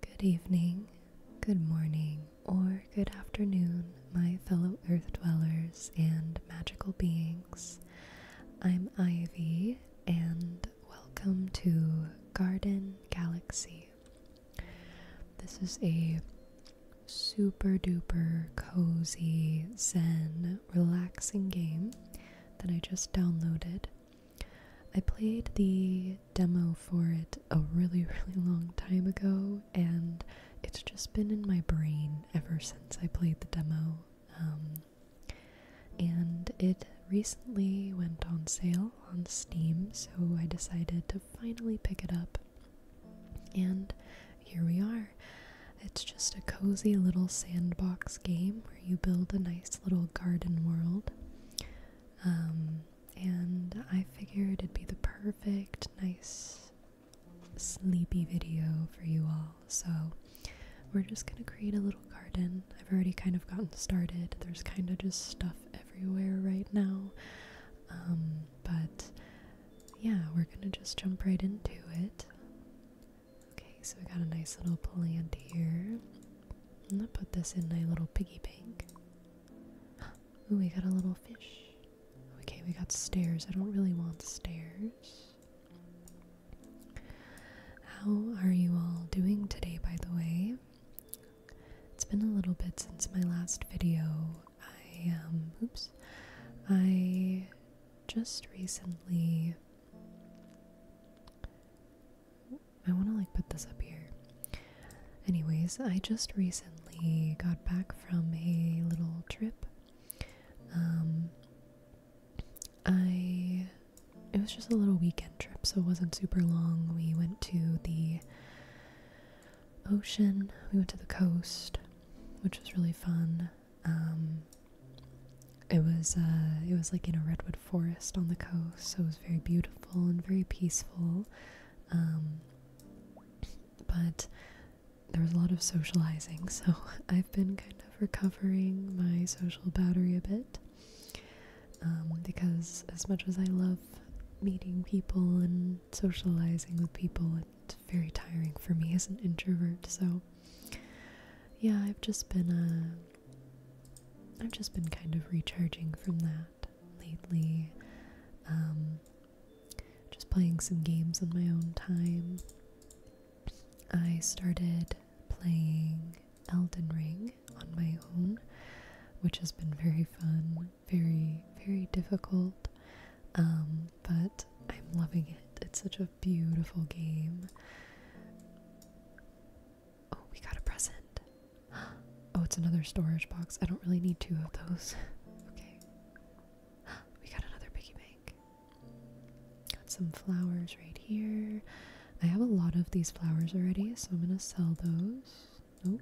Good evening, good morning, or good afternoon, my fellow earth dwellers and magical beings. I'm Ivy, and welcome to Garden Galaxy. This is a super duper cozy, zen, relaxing game that I just downloaded I played the demo for it a really, really long time ago, and it's just been in my brain ever since I played the demo. Um, and it recently went on sale on Steam, so I decided to finally pick it up. And here we are. It's just a cozy little sandbox game where you build a nice little garden world. Um, and I figured it'd be the perfect, nice, sleepy video for you all. So we're just gonna create a little garden. I've already kind of gotten started. There's kind of just stuff everywhere right now. Um, but yeah, we're gonna just jump right into it. Okay, so we got a nice little plant here. I'm put this in my little piggy bank. Ooh, we got a little fish. Okay, we got stairs. I don't really want stairs. How are you all doing today, by the way? It's been a little bit since my last video. I, um, oops. I just recently I want to like put this up here. Anyways, I just recently got back from a little trip. Um, I it was just a little weekend trip, so it wasn't super long. We went to the ocean. We went to the coast, which was really fun. Um, it was uh, it was like you know redwood forest on the coast, so it was very beautiful and very peaceful. Um, but there was a lot of socializing, so I've been kind of recovering my social battery a bit. Um, because as much as I love meeting people and socializing with people, it's very tiring for me as an introvert. So, yeah, I've just been uh, I've just been kind of recharging from that lately. Um, just playing some games on my own time. I started playing Elden Ring on my own, which has been very fun, very, very difficult, um, but I'm loving it. It's such a beautiful game. Oh, we got a present. Oh, it's another storage box. I don't really need two of those. okay. We got another piggy bank. Got some flowers right here. I have a lot of these flowers already, so I'm gonna sell those. Nope.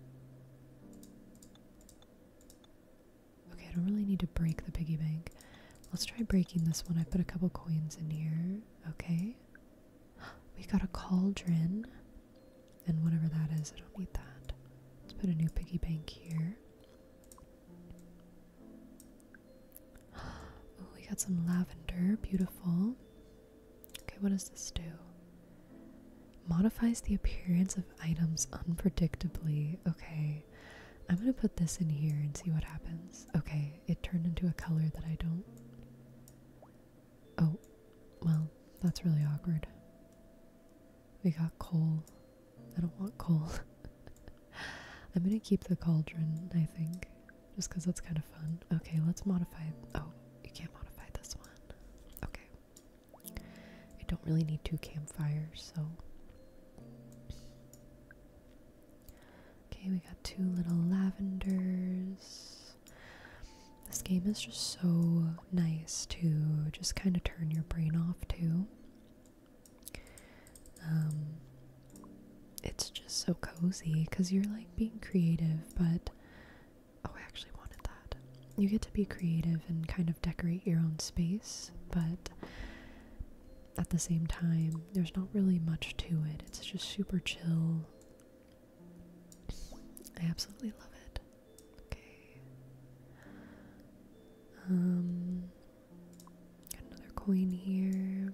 Okay, I don't really need to break the piggy bank. Let's try breaking this one. I put a couple coins in here. Okay. We got a cauldron. And whatever that is, I don't need that. Let's put a new piggy bank here. Oh, we got some lavender. Beautiful. Okay, what does this do? Modifies the appearance of items unpredictably. Okay. I'm gonna put this in here and see what happens. Okay, it turned into a color that I don't Oh, well, that's really awkward. We got coal. I don't want coal. I'm gonna keep the cauldron, I think, just because that's kind of fun. Okay, let's modify. Oh, you can't modify this one. Okay. I don't really need two campfires, so. Okay, we got two little lavenders this. game is just so nice to just kind of turn your brain off to. Um, it's just so cozy because you're like being creative, but oh, I actually wanted that. You get to be creative and kind of decorate your own space, but at the same time, there's not really much to it. It's just super chill. I absolutely love it. Okay. Um, another coin here.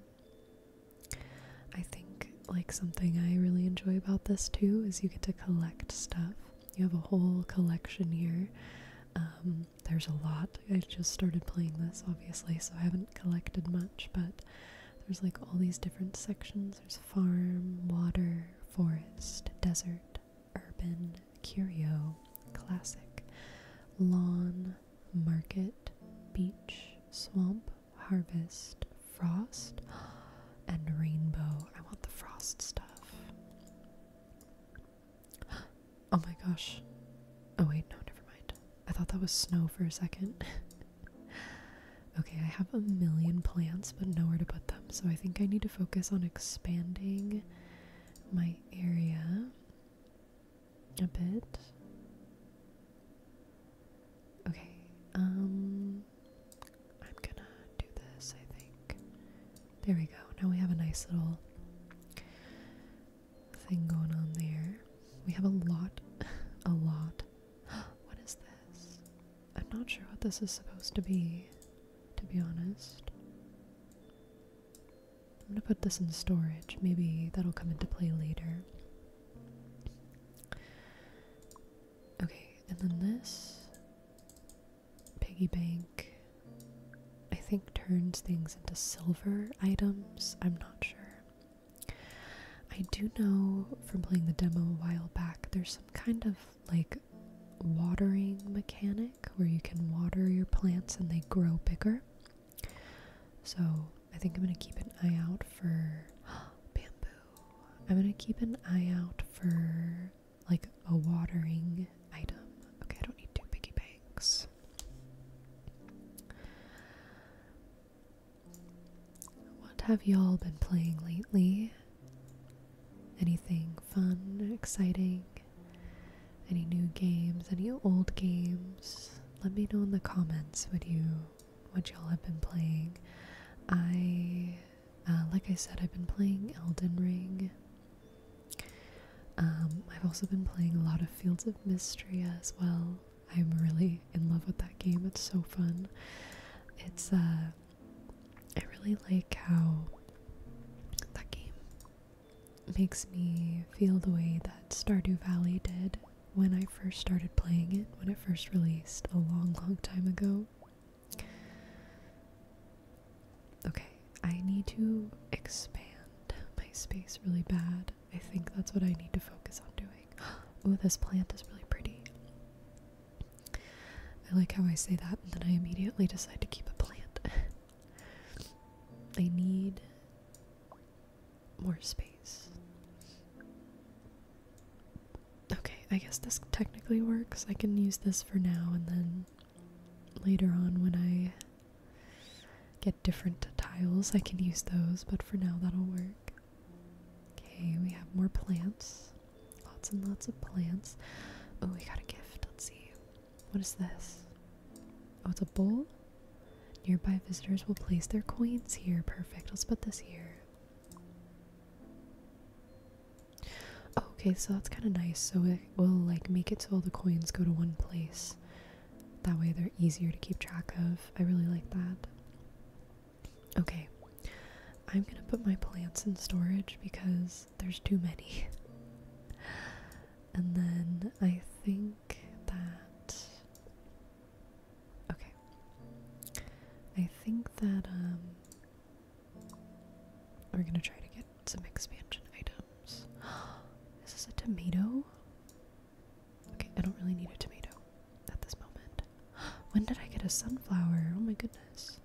I think like something I really enjoy about this too is you get to collect stuff. You have a whole collection here. Um, there's a lot. I just started playing this obviously, so I haven't collected much, but there's like all these different sections there's farm, water, forest, desert, urban, curio, classic, lawn, market, beach, swamp, harvest, frost, and rainbow. I want the frost stuff. Oh my gosh. Oh wait, no, never mind. I thought that was snow for a second. okay, I have a million plants, but nowhere to put them, so I think I need to focus on expanding my area a bit. Okay, um, I'm gonna do this, I think. There we go. Now we have a nice little thing going on there. We have a lot, a lot what is this? I'm not sure what this is supposed to be, to be honest. I'm gonna put this in storage. Maybe that'll come into play later. Okay, and then this piggy bank, I think, turns things into silver items. I'm not sure. I do know from playing the demo a while back, there's some kind of like watering mechanic where you can water your plants and they grow bigger. So I think I'm going to keep an eye out for bamboo. I'm going to keep an eye out for like a watering item. Okay, I don't need two piggy banks. What have y'all been playing lately? Anything fun, exciting? Any new games? Any old games? Let me know in the comments what you what y'all have been playing. I uh, like I said, I've been playing Elden Ring. Um, I've also been playing a lot of Fields of Mystery as well. I'm really in love with that game. It's so fun. It's uh I really like how that game makes me feel the way that Stardew Valley did when I first started playing it, when it first released a long, long time ago. Okay, I need to expand my space really bad. I think that's what I need to focus on doing doing. this plant is really pretty. I like how I say that and then I immediately decide to keep a plant. I need more space. Okay, I guess this technically works. I can use this for now and then later on when I get different tiles, I can use those, but for now that'll work. Okay, we have more plants. Lots and lots of plants. Oh, we got a gift. Let's see. What is this? Oh, it's a bowl? Nearby visitors will place their coins here. Perfect. Let's put this here. Oh, okay, so that's kind of nice. So it will like make it so all the coins go to one place. That way they're easier to keep track of. I really like that. Okay, I'm gonna put my plants in storage because there's too many. and then I think that. Okay. I think that, um. We're gonna try to get some expansion items. Is this a tomato? Okay, I don't really need a tomato at this moment. When did I get a sunflower? Oh my goodness.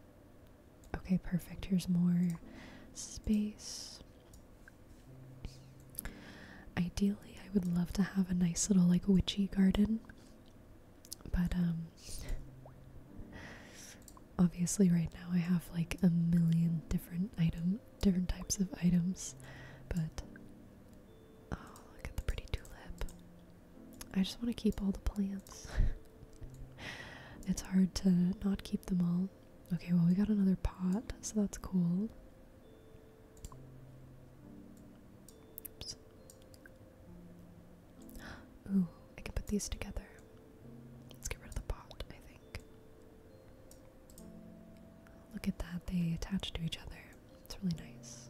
Okay, perfect. Here's more space. Ideally, I would love to have a nice little like witchy garden. But um obviously right now I have like a million different item different types of items, but Oh, look at the pretty tulip. I just want to keep all the plants. it's hard to not keep them all. Okay, well, we got another pot, so that's cool. Oops. Ooh, I can put these together. Let's get rid of the pot, I think. Look at that, they attach to each other. It's really nice.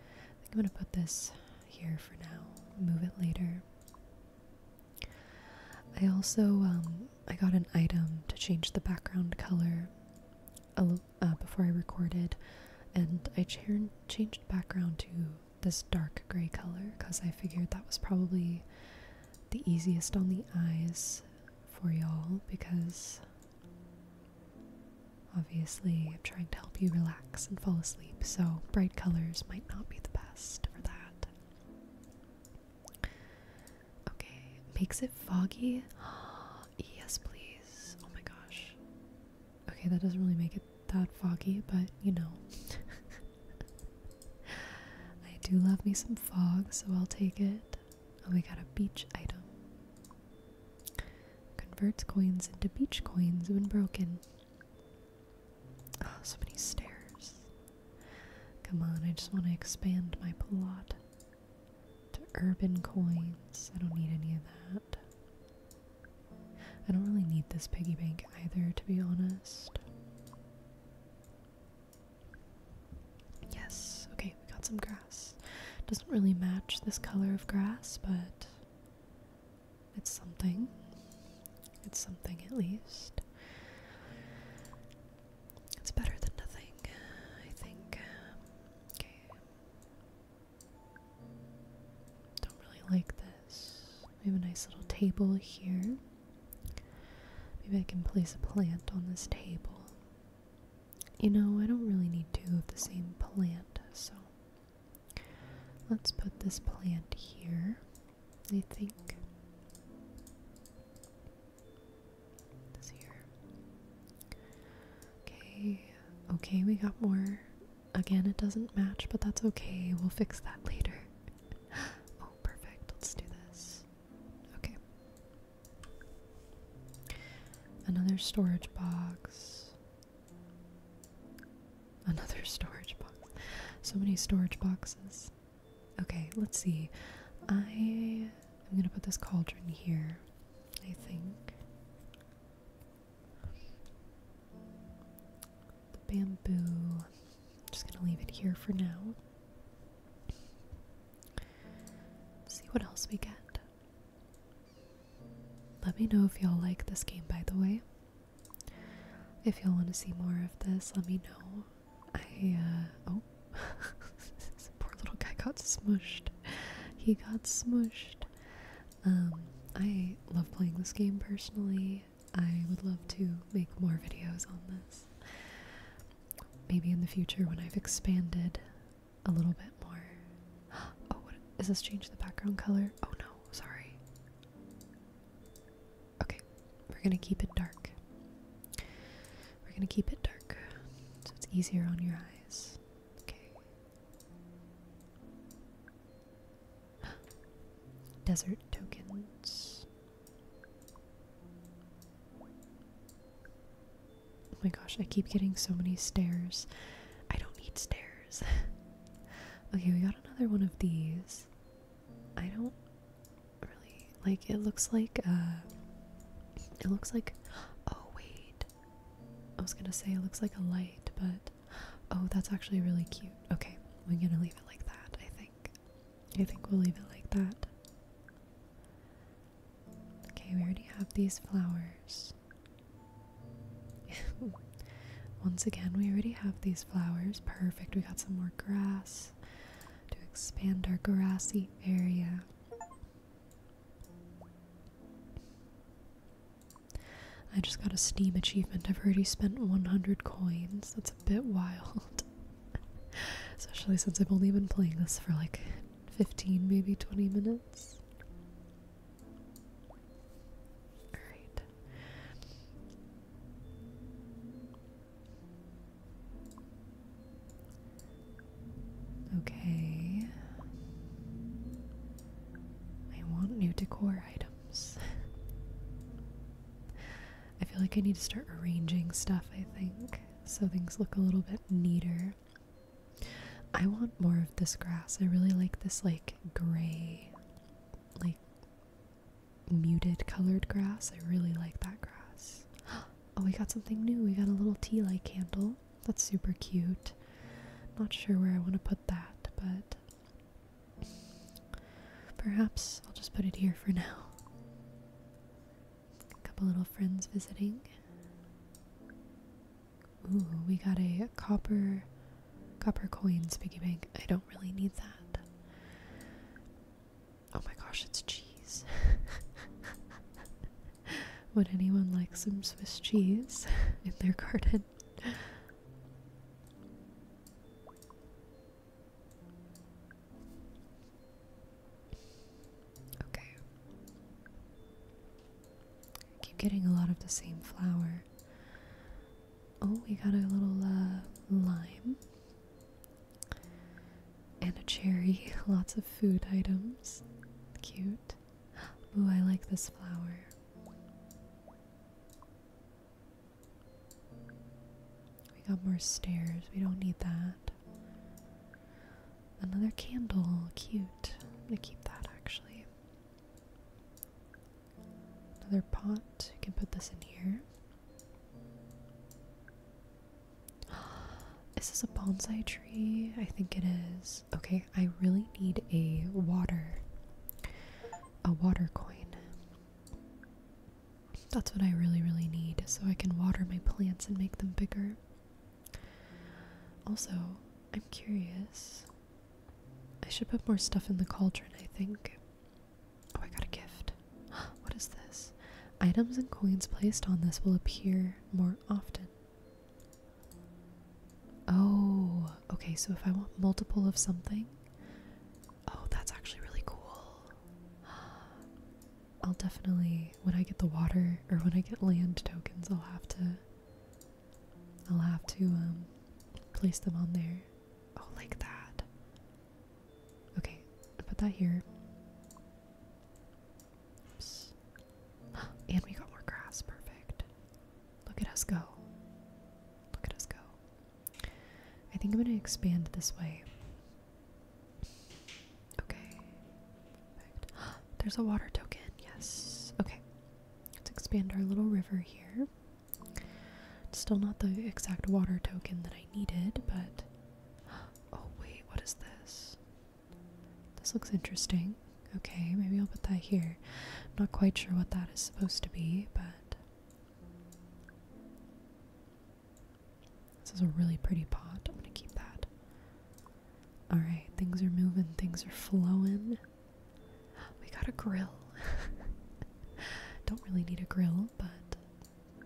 I think I'm going to put this here for now, move it later. I also, um, I got an item to change the background color uh, before I recorded, and I changed background to this dark gray color because I figured that was probably the easiest on the eyes for y'all because Obviously, I'm trying to help you relax and fall asleep, so bright colors might not be the best for that. Okay, makes it foggy. yes, please. Oh my gosh. Okay, that doesn't really make it that foggy, but you know. I do love me some fog, so I'll take it. Oh, we got a beach item. Converts coins into beach coins when broken. Oh, so many stairs. Come on, I just want to expand my plot to urban coins. I don't need any of that. I don't really need this piggy bank either, to be honest. Yes, okay, hey, we got some grass. Doesn't really match this color of grass, but it's something. It's something at least. It's better than nothing, I think. Don't really like this. We have a nice little table here. Maybe I can place a plant on this table. You know, I don't really need two of the same plant, so let's put this plant here, I think. This here. Okay, okay, we got more. Again, it doesn't match, but that's okay. We'll fix that later. oh, perfect. Let's do this. Okay. Another storage box. Another storage box. So many storage boxes. Okay, let's see. I am gonna put this cauldron here, I think. The bamboo. I'm just gonna leave it here for now. see what else we get. Let me know if y'all like this game, by the way. If y'all want to see more of this, let me know. I, uh, oh, this poor little guy got smushed. He got smushed. Um, I love playing this game personally. I would love to make more videos on this. Maybe in the future when I've expanded a little bit more. Oh, what is this? Change the background color? Oh no, sorry. Okay, we're gonna keep it dark. We're gonna keep it dark so it's easier on your eyes. Okay. Desert tokens. Oh my gosh, I keep getting so many stairs. I don't need stairs. okay, we got another one of these. I don't really like it looks like uh it looks like oh wait. I was gonna say it looks like a light, but oh that's actually really cute. Okay, we're gonna leave it like that, I think. I think we'll leave it like that. Okay, we already have these flowers. Once again, we already have these flowers. Perfect, we got some more grass to expand our grassy area. I just got a Steam achievement. I've already spent 100 coins. That's a bit wild. Especially since I've only been playing this for like 15, maybe 20 minutes. Alright. Okay. I want new decor items. I feel like I need to start arranging stuff, I think, so things look a little bit neater. I want more of this grass. I really like this like gray, like muted colored grass. I really like that grass. Oh, we got something new. We got a little tea light candle. That's super cute. Not sure where I want to put that, but perhaps I'll just put it here for now. A couple little friends visiting. Ooh, we got a copper copper coin, piggy bank. I don't really need that. Oh my gosh, it's cheese. Would anyone like some Swiss cheese in their garden? Okay. keep getting a lot of the same flower. Oh, we got a little uh, lime and a cherry. Lots of food items. Cute. Oh, I like this flower. We got more stairs. We don't need that. Another candle. Cute. I'm gonna keep that actually. Another pot. You can put this in here. Is this a bonsai tree? I think it is. Okay, I really need a water. A water coin. That's what I really, really need so I can water my plants and make them bigger. Also, I'm curious. I should put more stuff in the cauldron, I think. Oh, I got a gift. what is this? Items and coins placed on this will appear more often. Oh, okay, so if I want multiple of something. Oh, that's actually really cool. I'll definitely, when I get the water or when I get land tokens, I'll have to I'll have to um, place them on there. Oh, like that. Okay, put that here. Oops. And we got more grass. Perfect. Look at us go. Look at us go. I think I'm going to expand this way. Okay. There's a water token. Yes. Okay. Let's expand our little river here. still not the exact water token that I needed, but. Oh, wait, what is this? This looks interesting. Okay, maybe I'll put that here. not quite sure what that is supposed to be, but. This is a really pretty pot. I'm gonna keep that. All right, things are moving, things are flowing. We got a grill. Don't really need a grill, but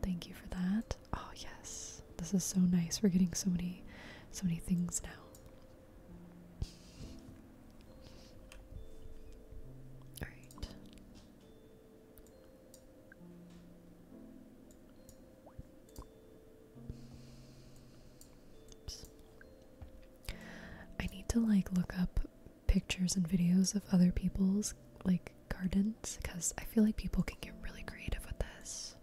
thank you for that. Oh, yes. This is so nice. We're getting so many so many things now. All right. I need to like look up pictures and videos of other people's like gardens because I feel like people can get really creative with this.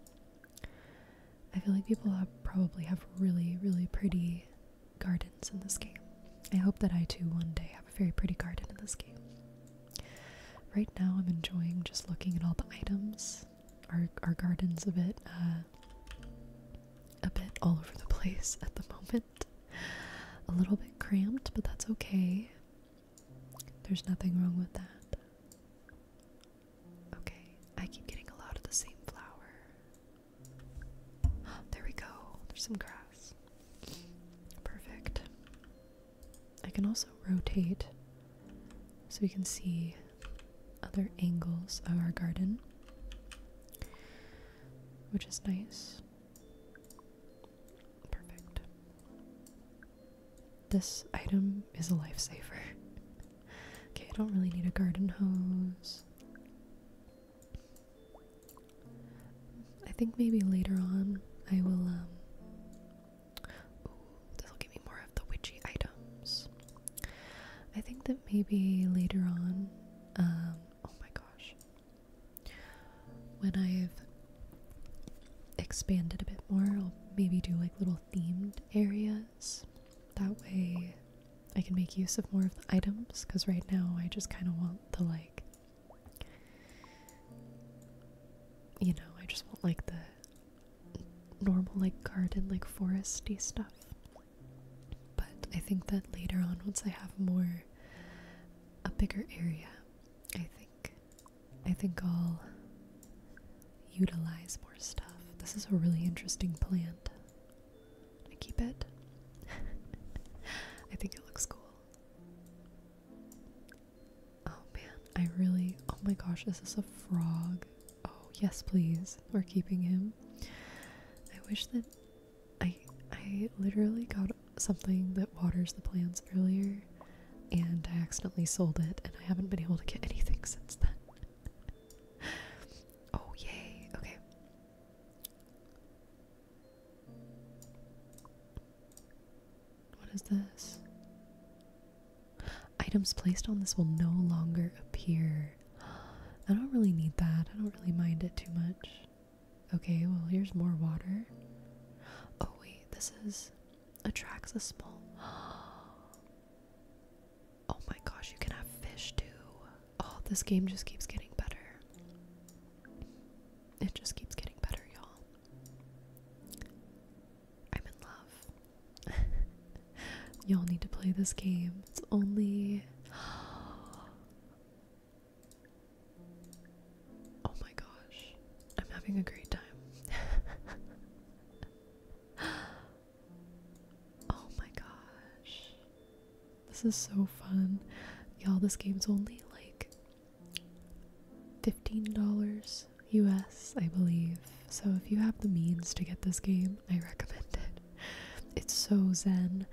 I feel like people probably have really, really pretty gardens in this game. I hope that I too one day have a very pretty garden in this game. Right now, I'm enjoying just looking at all the items our our garden's a bit uh, a bit all over the place at the moment. A little bit cramped, but that's okay. There's nothing wrong with that. Okay, I keep getting a lot of the same flower. there we go. There's some grass. Perfect. I can also rotate so we can see other angles of our garden, which is nice. Perfect. This item is a lifesaver. okay, I don't really need a garden hose. I think maybe later on I will um, Ooh, this will give me more of the witchy items. I think that maybe later on, um, oh my gosh, when I've expanded a bit more, I'll maybe do like little themed areas. That way I can make use of more of the items, because right now I just kind of want the like. You know, I just want like the normal, like garden, like foresty stuff. But I think that later on, once I have more, a bigger area, I think, I think I'll utilize more stuff. This is a really interesting plant. I keep it. I think it looks cool. Oh man, I really. Oh my gosh, this is a frog. Oh, yes, please. We're keeping him. I wish that I I literally got something that waters the plants earlier and I accidentally sold it and I haven't been able to get anything since then. oh, yay. Okay. What is this? Items placed on this will no longer appear. I don't really need that. I don't really mind it too much. Okay, well, here's more water. Oh, wait, this is. attracts a small. Oh my gosh, you can have fish too. Oh, this game just keeps getting better. It just keeps getting better, y'all. I'm in love. Y'all need to play this game. It's only. Oh my gosh. I'm having a great time. oh my gosh. This is so fun. Y'all, this game's only like $15. US, I believe. So if you have the means to get this game, I recommend it. It's so zen.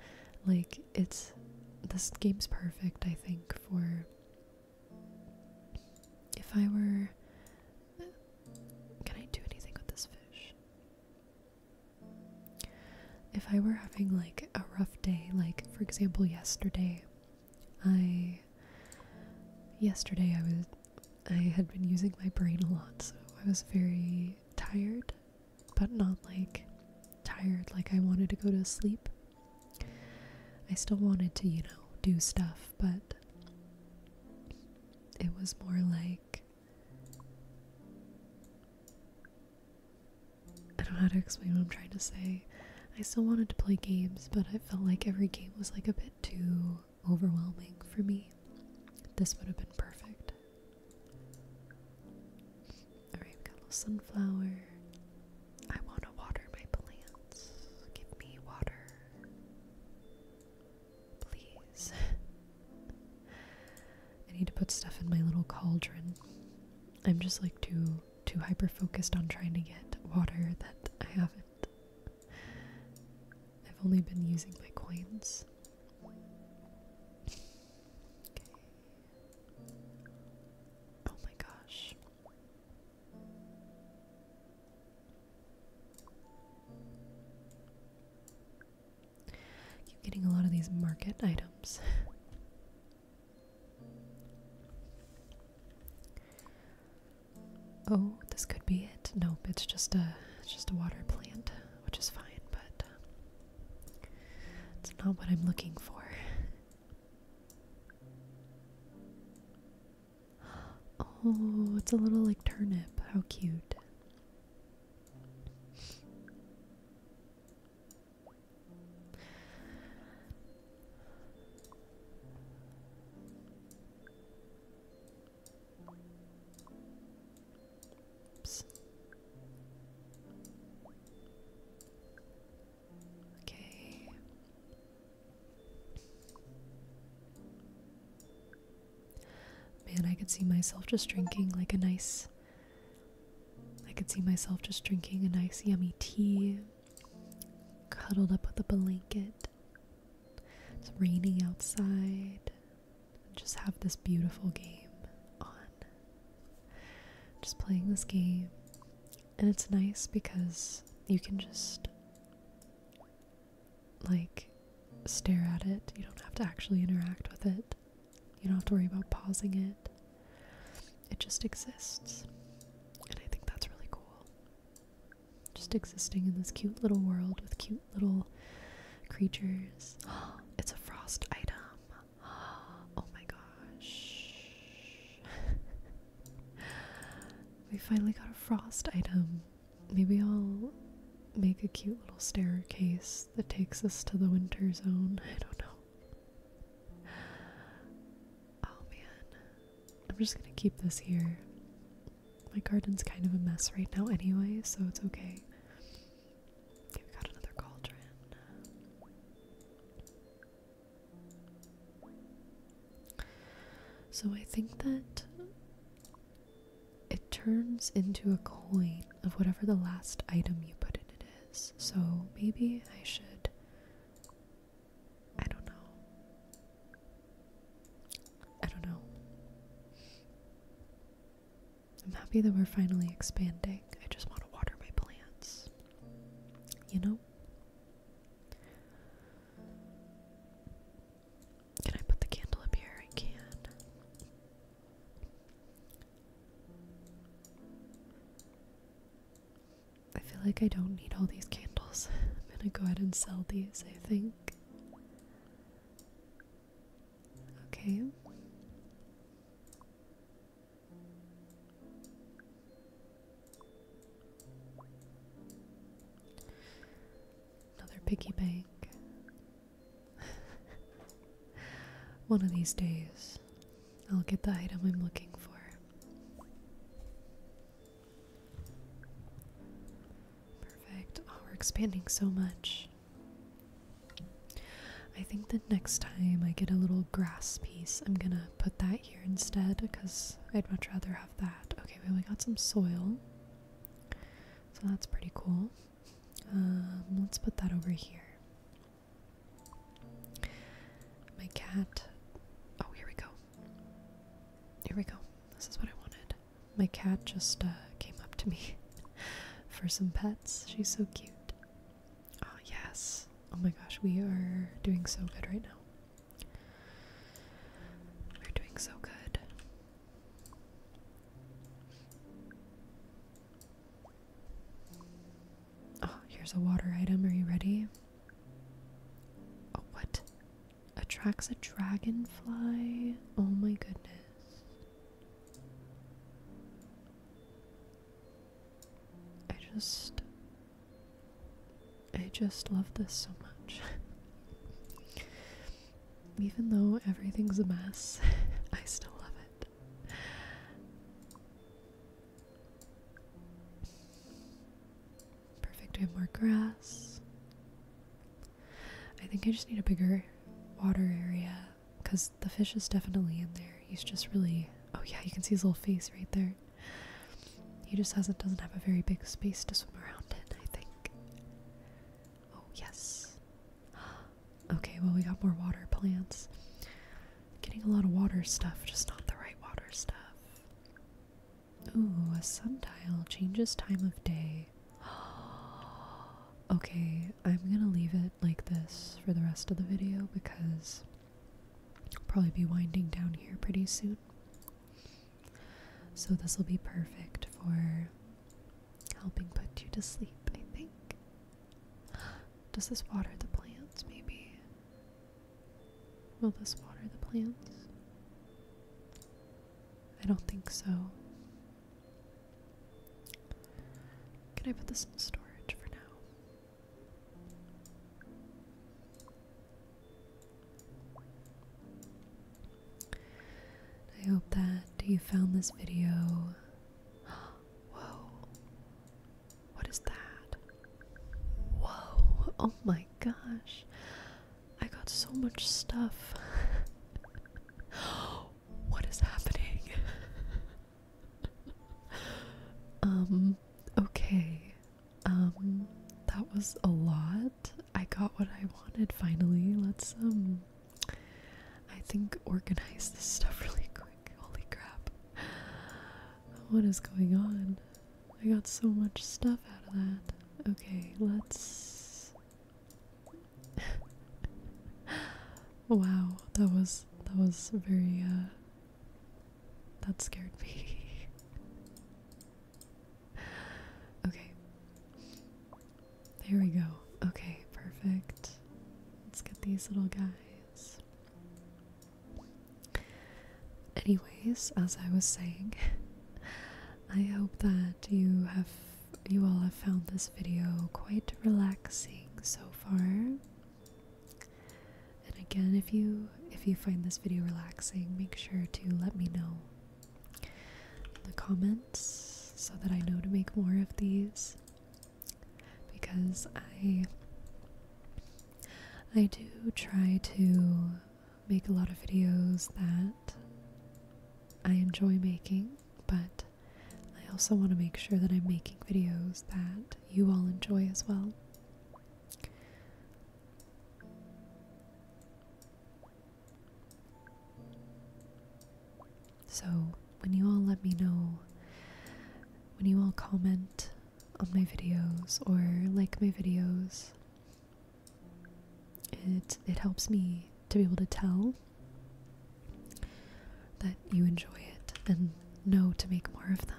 Like it's this game's perfect, I think, for if I were can I do anything with this fish? If I were having like a rough day, like for example yesterday, I yesterday I was I had been using my brain a lot, so I was very tired, but not like tired like I wanted to go to sleep. I still wanted to, you know, do stuff, but it was more like I don't know how to explain what I'm trying to say. I still wanted to play games, but I felt like every game was like a bit too overwhelming for me. This would have been perfect. Alright, got a little sunflower. I want to water my plants. Give me water. Please. I need to put stuff in my little cauldron. I'm just like too too hyper focused on trying to get water that I haven't I've only been using my coins. Oh my gosh. keep getting a lot of these market items. Oh, this could be it. Nope, it's just a just a water plant, which is fine, but um, it's not what I'm looking for. Oh, it's a little like turnip. How cute. Oops. Okay. Man, I could see myself just drinking like a nice. I could see myself just drinking a nice, yummy tea, cuddled up with a blanket, it's raining outside. Just have this beautiful game on. Just playing this game. And it's nice because you can just like stare at it. You don't have to actually interact with it. You don't have to worry about pausing it. It just exists. And I think that's really cool. Just existing in this cute little world with cute little creatures. it's a frost item. Oh my gosh. we finally got a frost item. Maybe I'll make a cute little staircase that takes us to the winter zone. I don't know. Oh man. I'm just gonna keep this here. My garden's kind of a mess right now anyway, so it's okay. Okay, we got another cauldron. So I think that it turns into a coin of whatever the last item you put in it is. So maybe I should. I don't know. I don't know. I'm happy that we're finally expanding. I just want to water my plants. You know? Can I put the candle up here? I can. I feel like I don't need all these candles. I'm gonna go ahead and sell these, I think. Okay. Another piggy bank. One of these days, I'll get the item I'm looking for. Perfect. Oh, we're expanding so much. I think the next time I get a little grass piece, I'm gonna put that here instead because I'd much rather have that. Okay, well, we got some soil. So that's pretty cool. Um, let's put that over here. My cat. Oh, here we go. Here we go. This is what I wanted. My cat just uh, came up to me for some pets. She's so cute. Oh, yes. Oh my gosh, we are doing so good right now. We're doing so good. Oh, here's a water item. Are you ready? Oh, what? attracts a dragonfly. Oh my goodness. I just I just love this so much. Even though everything's a mess, I still love it. Perfect, we have more grass. I think I just need a bigger water area because the fish is definitely in there. He's just really. Oh, yeah, you can see his little face right there. He just hasn't, doesn't have a very big space to swim around in, I think. Oh, yes. Okay, well, we got more water plants. Getting a lot of water stuff, just not the right water stuff. Ooh, a sun sundial changes time of day. okay, I'm gonna leave it like this for the rest of the video because I'll probably be winding down here pretty soon. So this will be perfect for helping put you to sleep, I think. Does this water the plants, maybe? Will this water the plants? I don't think so. Can I put this in storage for now? I hope that you found this video. Whoa. What is that? Whoa. Oh my gosh. I got so much stuff. what is happening? um, okay. Um, that was a lot. I got what I wanted finally. Let's, um, I think organize this stuff really quick. Holy crap. What is going on? I got so much stuff out of that. Okay, let's. wow, that was that was very uh that scared me. okay. There we go. Okay, perfect. Let's get these little guys. Anyways, as I was saying, I hope that you have you all have found this video quite relaxing so far. And again, if you if you find this video relaxing, make sure to let me know in the comments so that I know to make more of these because I I do try to make a lot of videos that I enjoy making, but I also want to make sure that I'm making videos that you all enjoy as well. So, when you all let me know, when you all comment on my videos or like my videos, it it helps me to be able to tell that you enjoy it and know to make more of them.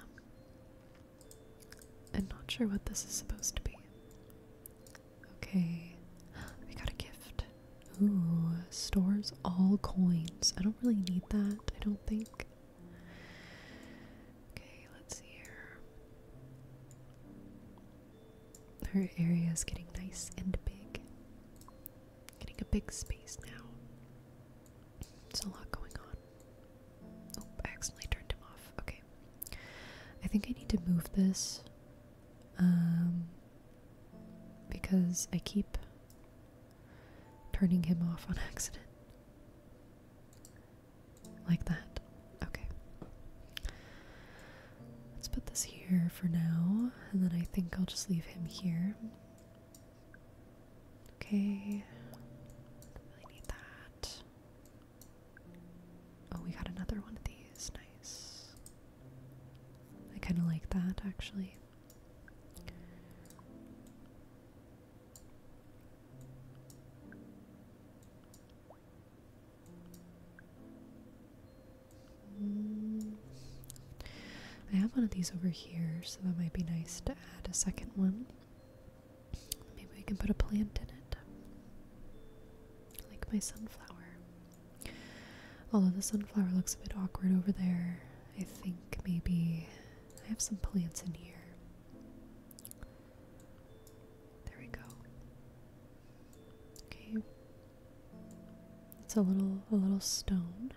I'm not sure what this is supposed to be. Okay. We got a gift. Ooh, stores all coins. I don't really need that, I don't think. Okay, let's see here. Her area is getting nice and big. Getting a big space now. There's a lot going on. Oh, I accidentally turned him off. Okay. I think I need to move this. Um, because I keep turning him off on accident. Like that. Okay. Let's put this here for now, and then I think I'll just leave him here. Okay. really need that. Oh, we got another one of these. Nice. I kind of like that actually. I have one of these over here, so that might be nice to add a second one. Maybe I can put a plant in it. Like my sunflower. Although the sunflower looks a bit awkward over there, I think maybe I have some plants in here. There we go. Okay. It's a little a little stone.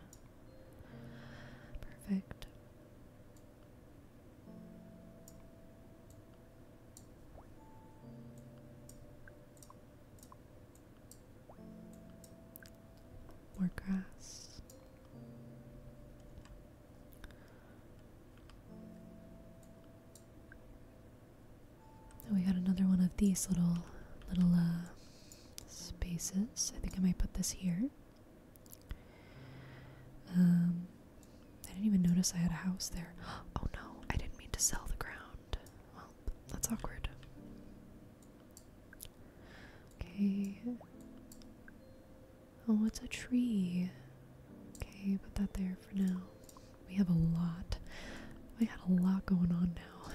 Perfect. More grass. Oh, we got another one of these little little uh, spaces. I think I might put this here. Um, I didn't even notice I had a house there. Oh no, I didn't mean to sell the ground. Well, that's awkward. Okay. Oh, it's a tree. Okay, put that there for now. We have a lot. We got a lot going on now.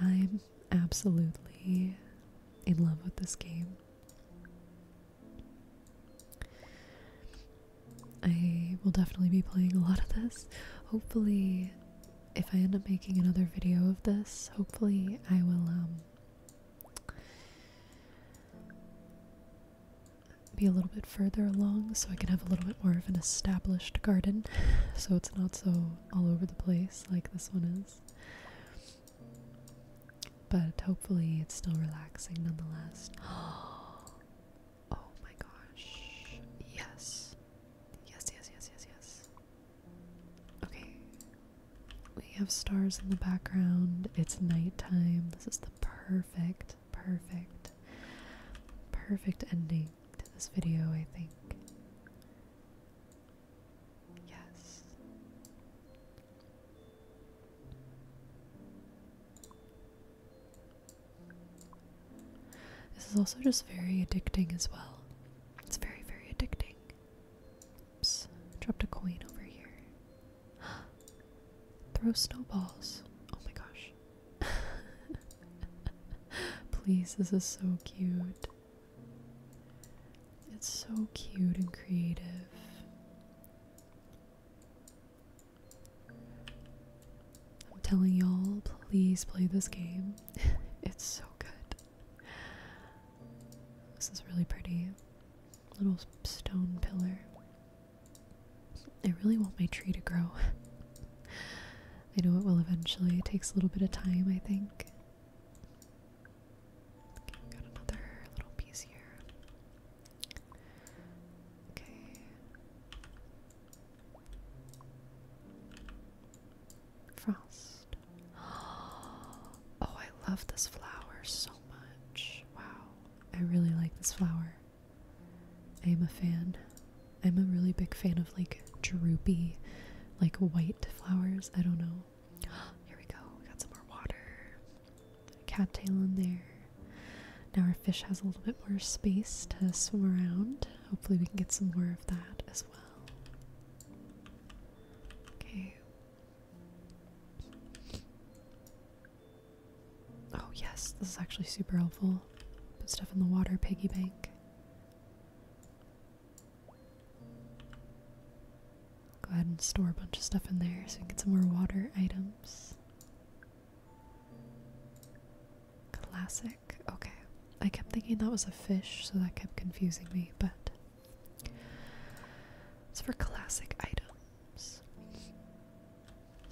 I'm absolutely in love with this game. I will definitely be playing a lot of this. Hopefully, if I end up making another video of this, hopefully I will um, be a little bit further along so I can have a little bit more of an established garden so it's not so all over the place like this one is. But hopefully it's still relaxing nonetheless. Oh my gosh. Yes. Yes, yes, yes, yes, yes. Okay. We have stars in the background. It's nighttime. This is the perfect, perfect, perfect ending to this video, I think. Yes. This is also just very addicting as well. It's very, very addicting. Oops, dropped a coin over here. Throw snowballs. Oh my gosh. Please, this is so cute. It's so cute and creative. I'm telling y'all, please play this game. it's so good. This is really pretty. Little stone pillar. I really want my tree to grow. I know it will eventually. It takes a little bit of time, I think. got another little piece here. Okay. Frost. Oh, I love this flower so much. Wow. I really like this flower. I am a fan. I'm a really big fan of like droopy, like white flowers. I don't know. Here we go. got some more water. Cattail in there. Now our fish has a little bit more space to swim around. Hopefully, we can get some more of that as well. Okay. Oh, yes, this is actually super helpful. Put stuff in the water piggy bank. Go ahead and store a bunch of stuff in there so we can get some more water items. Classic. Okay. I kept thinking that was a fish, so that kept confusing me, but it's for classic items.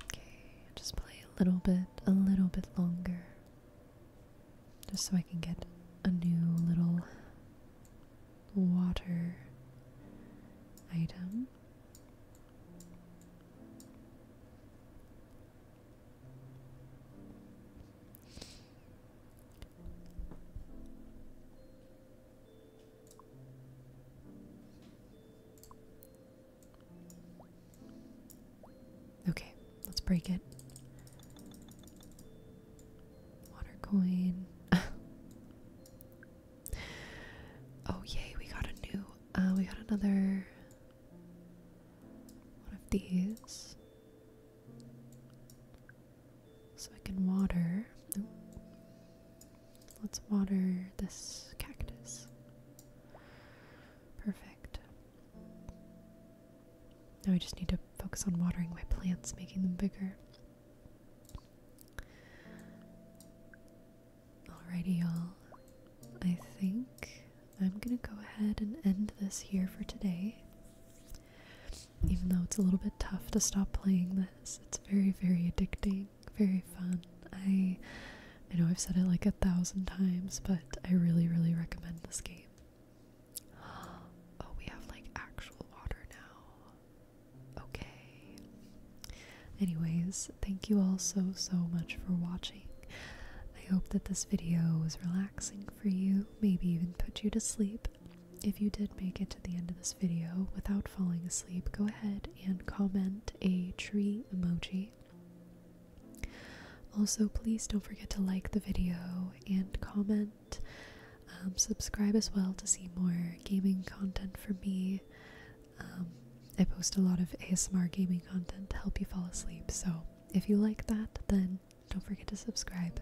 Okay, just play a little bit, a little bit longer. Just so I can get a new little water item. Okay, let's break it. Water coin. oh yay, we got a new uh we got another one of these. So I can water. Let's water this cactus. Perfect. Now I just need to focus on watering my plants, making them bigger. Alrighty, y'all. I think I'm gonna go ahead and end this here for today. Even though it's a little bit tough to stop playing this, it's very, very addicting, very fun. I I know I've said it like a thousand times, but I really, really recommend this game. Oh, we have like actual water now. Okay. Anyways, thank you all so, so much for watching. I hope that this video was relaxing for you maybe even put you to sleep. If you did make it to the end of this video without falling asleep, go ahead and comment a tree emoji. Also, please don't forget to like the video and comment. Um, subscribe as well to see more gaming content from me. Um, I post a lot of ASMR gaming content to help you fall asleep, so if you like that, then don't forget to subscribe.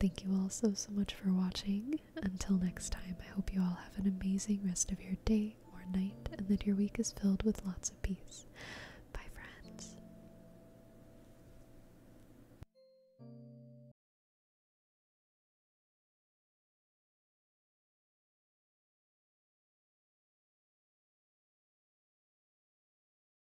Thank you all so, so much for watching. Until next time, I hope you all have an amazing rest of your day or night and that your week is filled with lots of peace. Bye, friends.